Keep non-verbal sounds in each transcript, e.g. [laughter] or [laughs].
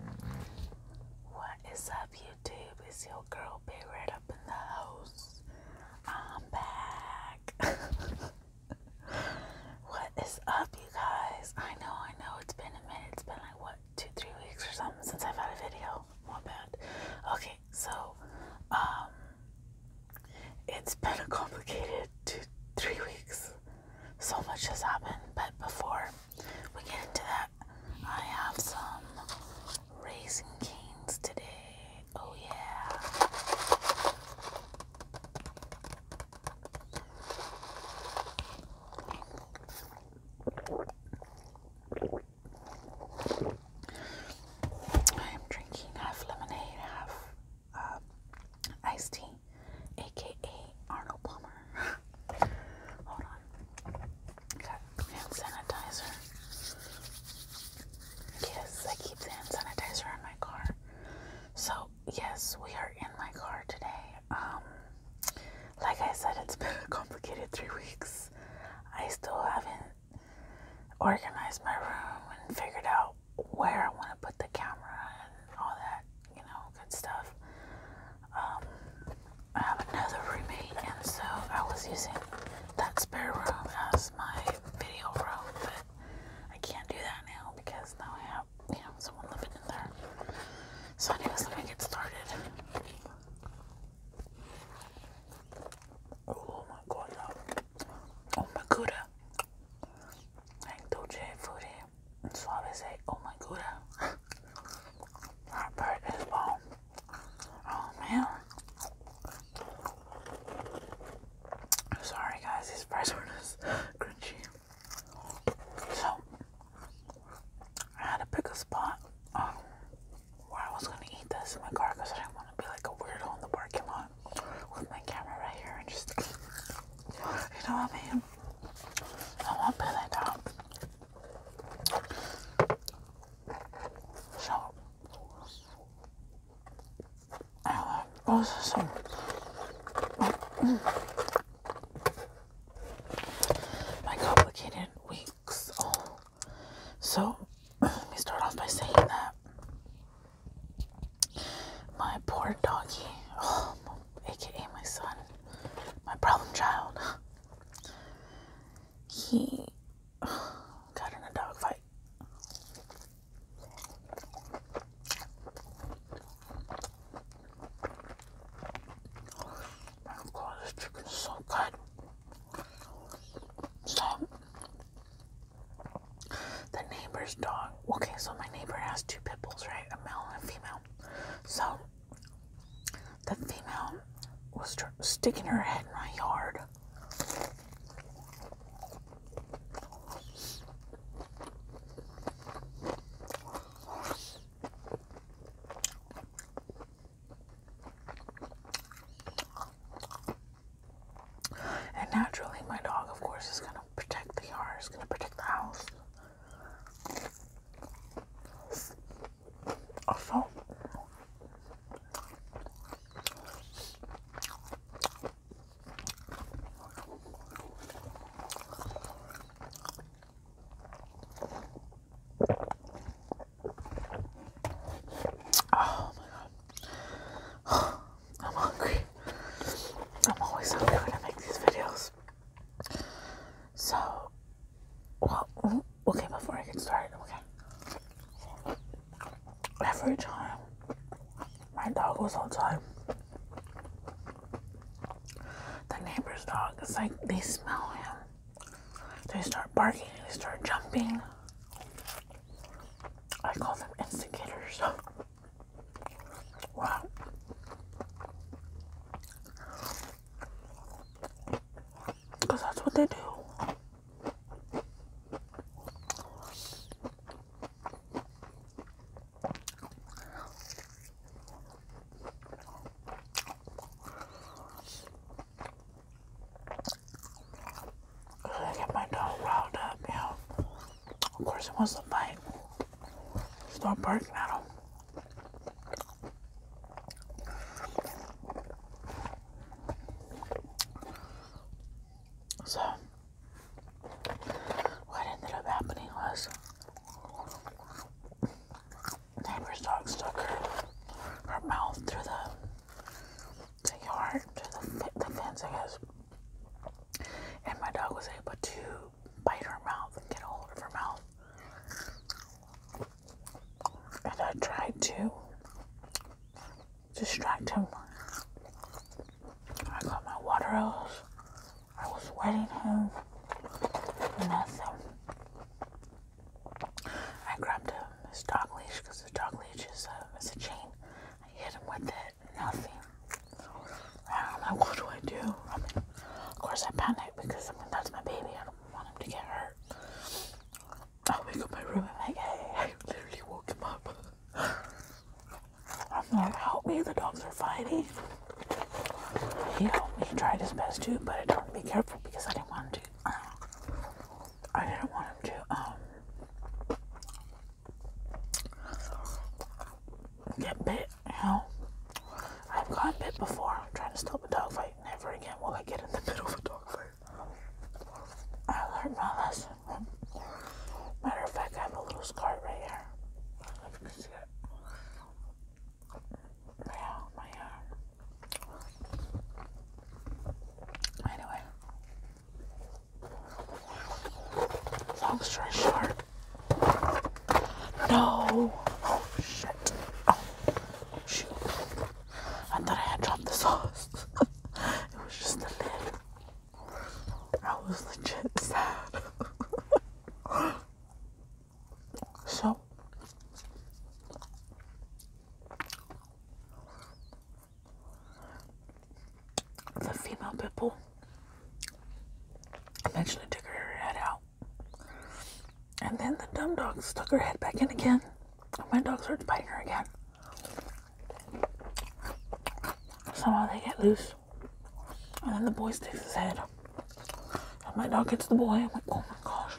What is up, YouTube? It's your girl, Big right up in the house. I'm back. [laughs] what is up, you guys? I know, I know, it's been a minute. It's been like, what, two, three weeks or something since I've had a video. My bad. Okay, so, um, it's been a complicated two, three weeks. So much has happened, but before we get into that. I have some raisin canes today. Oh yeah. I am drinking half lemonade, half uh, iced tea, aka Arnold Palmer. [laughs] Hold on. hand sanitizer. Yes, I keep hand sanitizer in my car. So, yes, we are in my car today. Um, like I said, it's been a complicated three weeks. I still haven't organized my room and figured out where I want to put the camera and all that you know, good stuff. Um, I have another roommate, and so I was using that spare room as my video room, but I can't do that now because now I have, you know, someone living in there. So, anyways, let me get started. Oh my god. Oh my god. Oh Thank you, so I would oh my god, that bird is bomb. Oh man. I'm sorry guys, these fries were just crunchy. So, I had to pick a spot um, where I was going to eat this in my car I didn't want to be like a weirdo in the parking lot with my camera right here and just, you know what I mean? I won't put that down. So, uh, processing. My complicated weeks. So, let me start off by saying that my poor doggy, aka um, my son, my problem child he got in a dog fight. My God, this chicken is so good. So, the neighbor's dog. Okay, so my neighbor has two pit bulls, right? A male and a female. So, the female was sticking her head in my yard. And naturally, my dog, of course, is going to protect the yard, is going to protect the house. Also, oh my god, [sighs] I'm hungry. I'm always hungry when I make these videos. So, well, oh, okay, before I get started, okay. Every time my dog goes outside, the neighbor's dog, it's like they smell him. They start barking, they start jumping. I call them instigators. [laughs] Wow. Because that's what they do. I get my dog riled up, you know. Of course, it wants to bite. Start barking at him. So, what ended up happening was neighbor's dog stuck her, her mouth through the, the yard, through the, the fence, I guess. And my dog was able to bite her mouth and get a hold of her mouth and I tried to distract him. I got my water hose. I was wetting him. Nothing. I grabbed him his dog leash because the dog leash is a, um, is a chain. I hit him with it. Nothing. I'm like, what do I do? of course I panicked because I mean that's my baby want him to get hurt. I wake up my room, I'm like, hey, I literally woke him up. I'm like, help me, the dogs are fighting. He helped me, try tried his best too, but I told him to be careful because I didn't want to. I didn't want him to, um, get bit, you know. I've gotten bit before, I'm trying to stop a dog fight never again will I get in the middle of a dog fight. I learned my lesson. Matter of fact, I have a little scar right here. Uh, anyway. Long story short. No. Oh shit. Oh. I oh, thought I had dropped the sauce. [laughs] it was just the lid. I was legit sad. [laughs] so, the female pitbull eventually took her head out. And then the dumb dog stuck her head back in again. my dog started biting her again. Somehow they get loose. And then the boy sticks his head. And my dog gets the boy. I'm like, oh my gosh.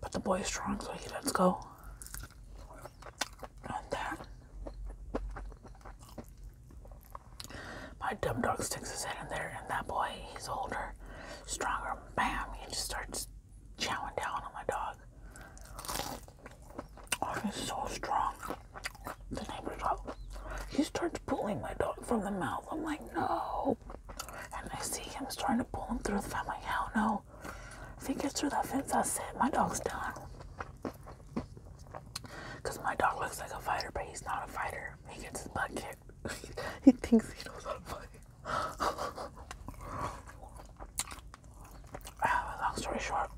But the boy is strong, so he lets go. And then my dumb dog sticks his head in there, and that boy, he's older, stronger. Bam! He just starts chowing down on my dog. Oh, he's so strong. The neighbor's dog. He starts pulling my dog from the mouth. I'm like, no. And I see him trying to pull him through the fence. I'm like, hell no. If he gets through that fence, I said, My dog's done. Because my dog looks like a fighter, but he's not a fighter. He gets his butt kicked. [laughs] he thinks he knows how to play. long story short,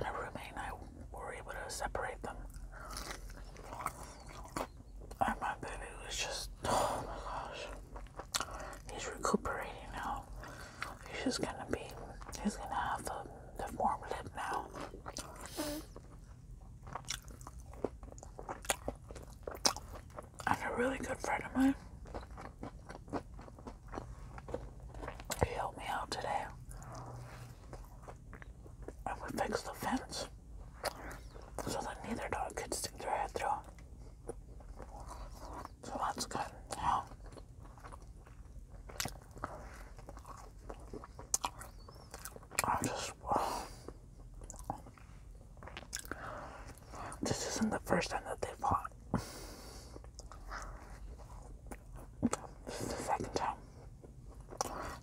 my roommate and I were able to separate them. And my baby was just, [sighs] oh my gosh. He's recuperating now. He's just gonna be, he's gonna have the, the warm now. I have a really good friend of mine, he helped me out today. And we fixed the fence so that neither dog could stick their head through. So that's good. This isn't the first time that they fought. This is the second time.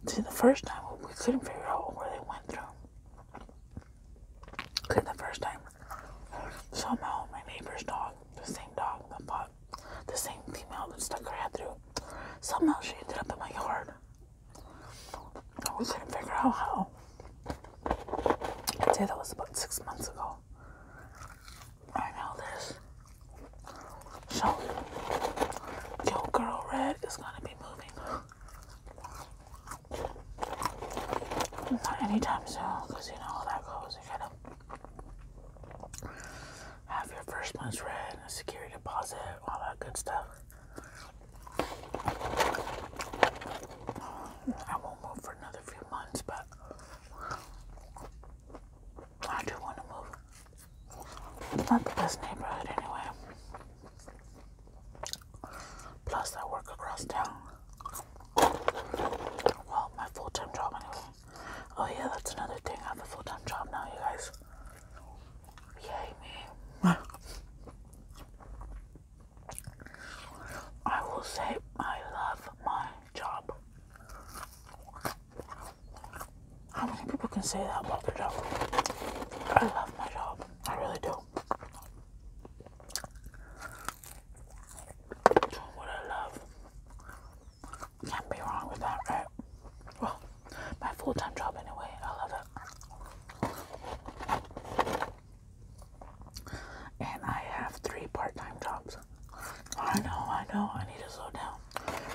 See, the first time we couldn't figure out where they went through. Cause the first time, somehow my neighbor's dog, the same dog the same female that stuck her head through, somehow she ended up in my yard. I we couldn't figure out how. I'd say that was about six months ago. I know this. So, Yo Girl Red is gonna be moving. Not anytime soon, you know how that goes. You gotta have your first month's rent, a security deposit, all that good stuff. I won't move for another few months, but I do want to move. It's not the best neighborhood anyway. Plus, I work across town. Well, my full time job, anyway. Oh, yeah, that's another thing. I have a full time job now, you guys. Yay, I will say I love my job. How many people can say that about their job? I love my job. I really do. Doing what I love. Can't be wrong with that, right? my full time job anyway. I love it. And I have three part time jobs. I know, I know, I need to slow down.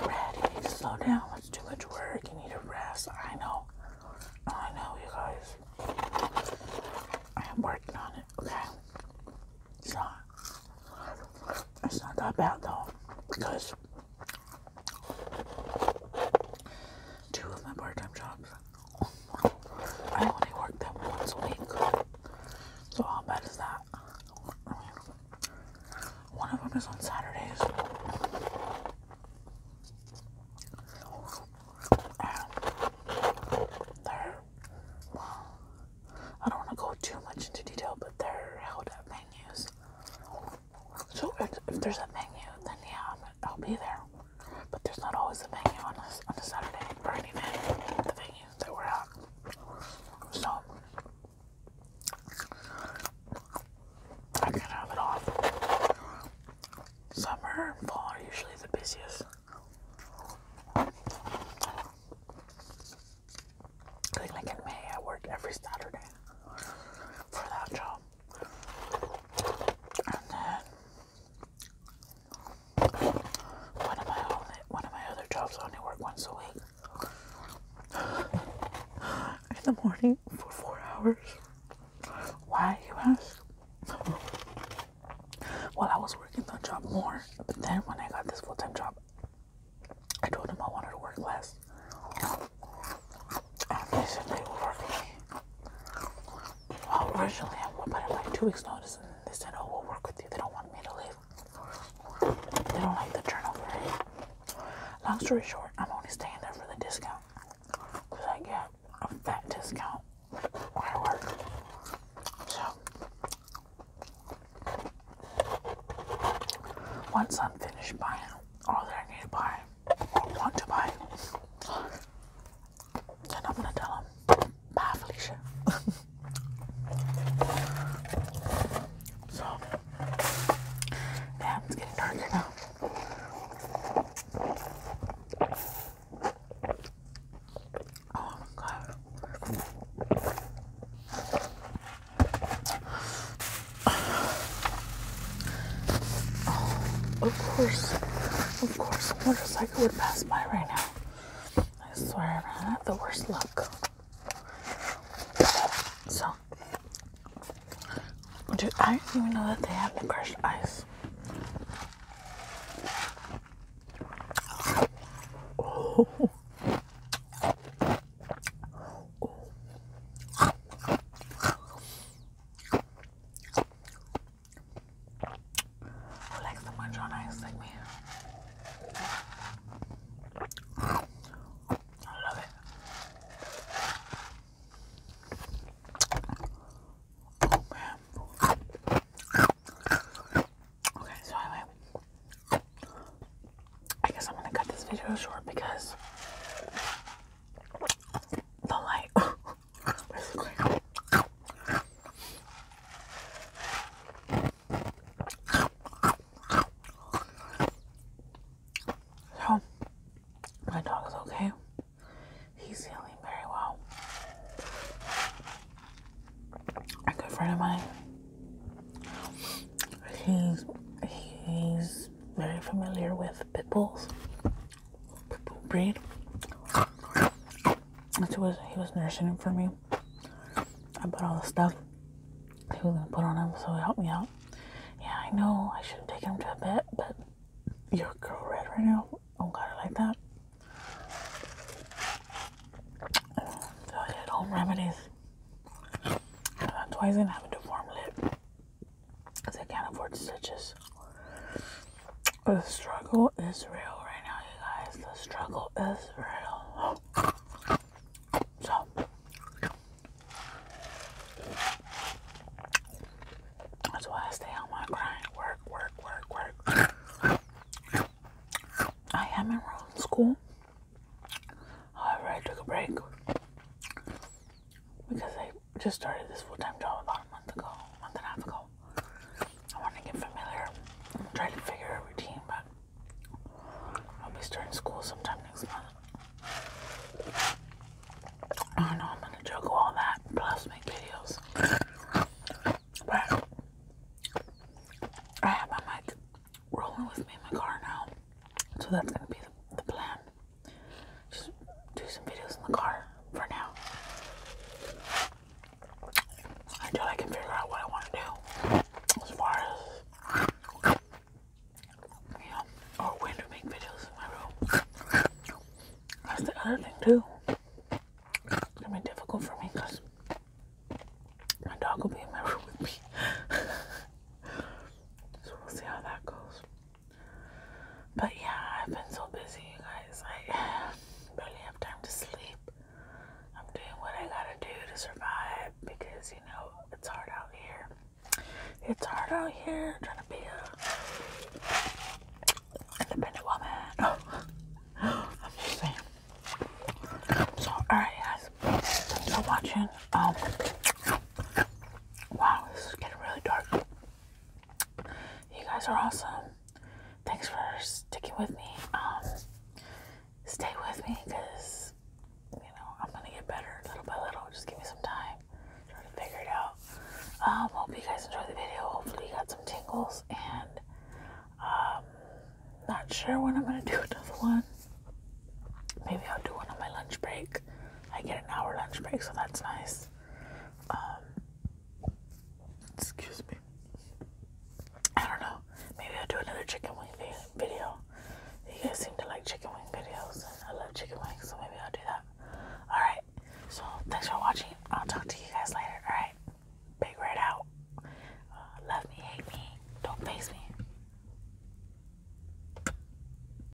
Brad, you need to slow down. That's too much work. You need to rest. I know. I know, you guys. I am working on it, okay? It's not. It's not that bad though, because Two of my part-time jobs. I only work them once a week. So how bad is that? One of them is on Saturdays. And I don't want to go too much into detail, but they're held at venues so if, there's a menu, then yeah, I'll be there. But there's not always a menu on a, on a Saturday for any event, the venues that we're at. So I can have it off. Summer and fall are usually the busiest. like in May I work every Saturday for that job. And then one of my other jobs I only work once a week in the morning for four hours. Why you ask? Well, I was working that job more, but then when I got this full time job, I told him I wanted to work less. And they said they would work me. Well, originally I would, but at like two weeks' notice, and they said, oh, we'll work with you. They don't want me to leave. They don't like the turnover. Long story short, I'm only staying there for the discount. Because I get a fat discount where I work. So, once I'm finished buying all that I need to buy, I want to buy. And I'm gonna tell him, bye, Felicia. so, it's getting darker now. Oh my god. Of course, of course, a motorcycle would pass by right now. I swear, I have the worst luck. So, dude, I didn't even know that they had the crushed ice. [laughs] I so much on ice, like man. I love it. Oh man. Okay, so I guess I'm gonna cut this video short because the light. [laughs] so, my dog is okay. He's healing very well. A good friend of mine. He's he's very familiar with pit bulls, pit bull breed. That's was he was nursing him for me. I put all the stuff he was gonna put on him, so he helped me out. Yeah, I know I should have taken him to a vet, but your girl red right now. Oh god, I like that. So I did home remedies. That's why he's gonna have a deformed lip because I can't afford stitches. The struggle is real right now, you guys. The struggle is real. So, that's why I stay on my grind. Work, work, work, work. I am enrolled in school. However, I took a break because I just started this full time job about a month ago, a month and a half ago. I want to get familiar and try to figure a routine, but I'll be starting school sometime next month. I know I'm gonna juggle all that plus make videos. But I have my mic rolling with me in my car now, so that's gonna be the plan just do some videos in the car for now until I can figure out what I want to do as far as you or when to make videos in my room. That's the other thing too. It's gonna be difficult for me because my dog will be in my room with me. [laughs] so we'll see how that goes. But yeah, I've been so busy, you guys. I [sighs] barely have time to sleep. I'm doing what I gotta do to survive because you know it's hard out here. It's hard out here trying to be a independent woman. [gasps] I'm just saying. So, alright, guys, thanks for watching. Um, Wow, this is getting really dark. You guys are awesome. Thanks for sticking with me. Um, stay with me because you know I'm gonna get better little by little. Just give me some time, trying to figure it out. Um, hope you guys enjoyed the video. Hopefully you got some tingles, and um, not sure when I'm gonna do another one. Maybe I'll do one on my lunch break. I get an hour lunch break, so that's nice. Um, excuse me. I don't know. Maybe I'll do another chicken wing video. You guys seem to like chicken wing videos, I love chicken wings, so maybe I'll do that. Alright, so thanks for watching. I'll talk to you guys later. Alright, big red out. Uh, love me, hate me, don't face me.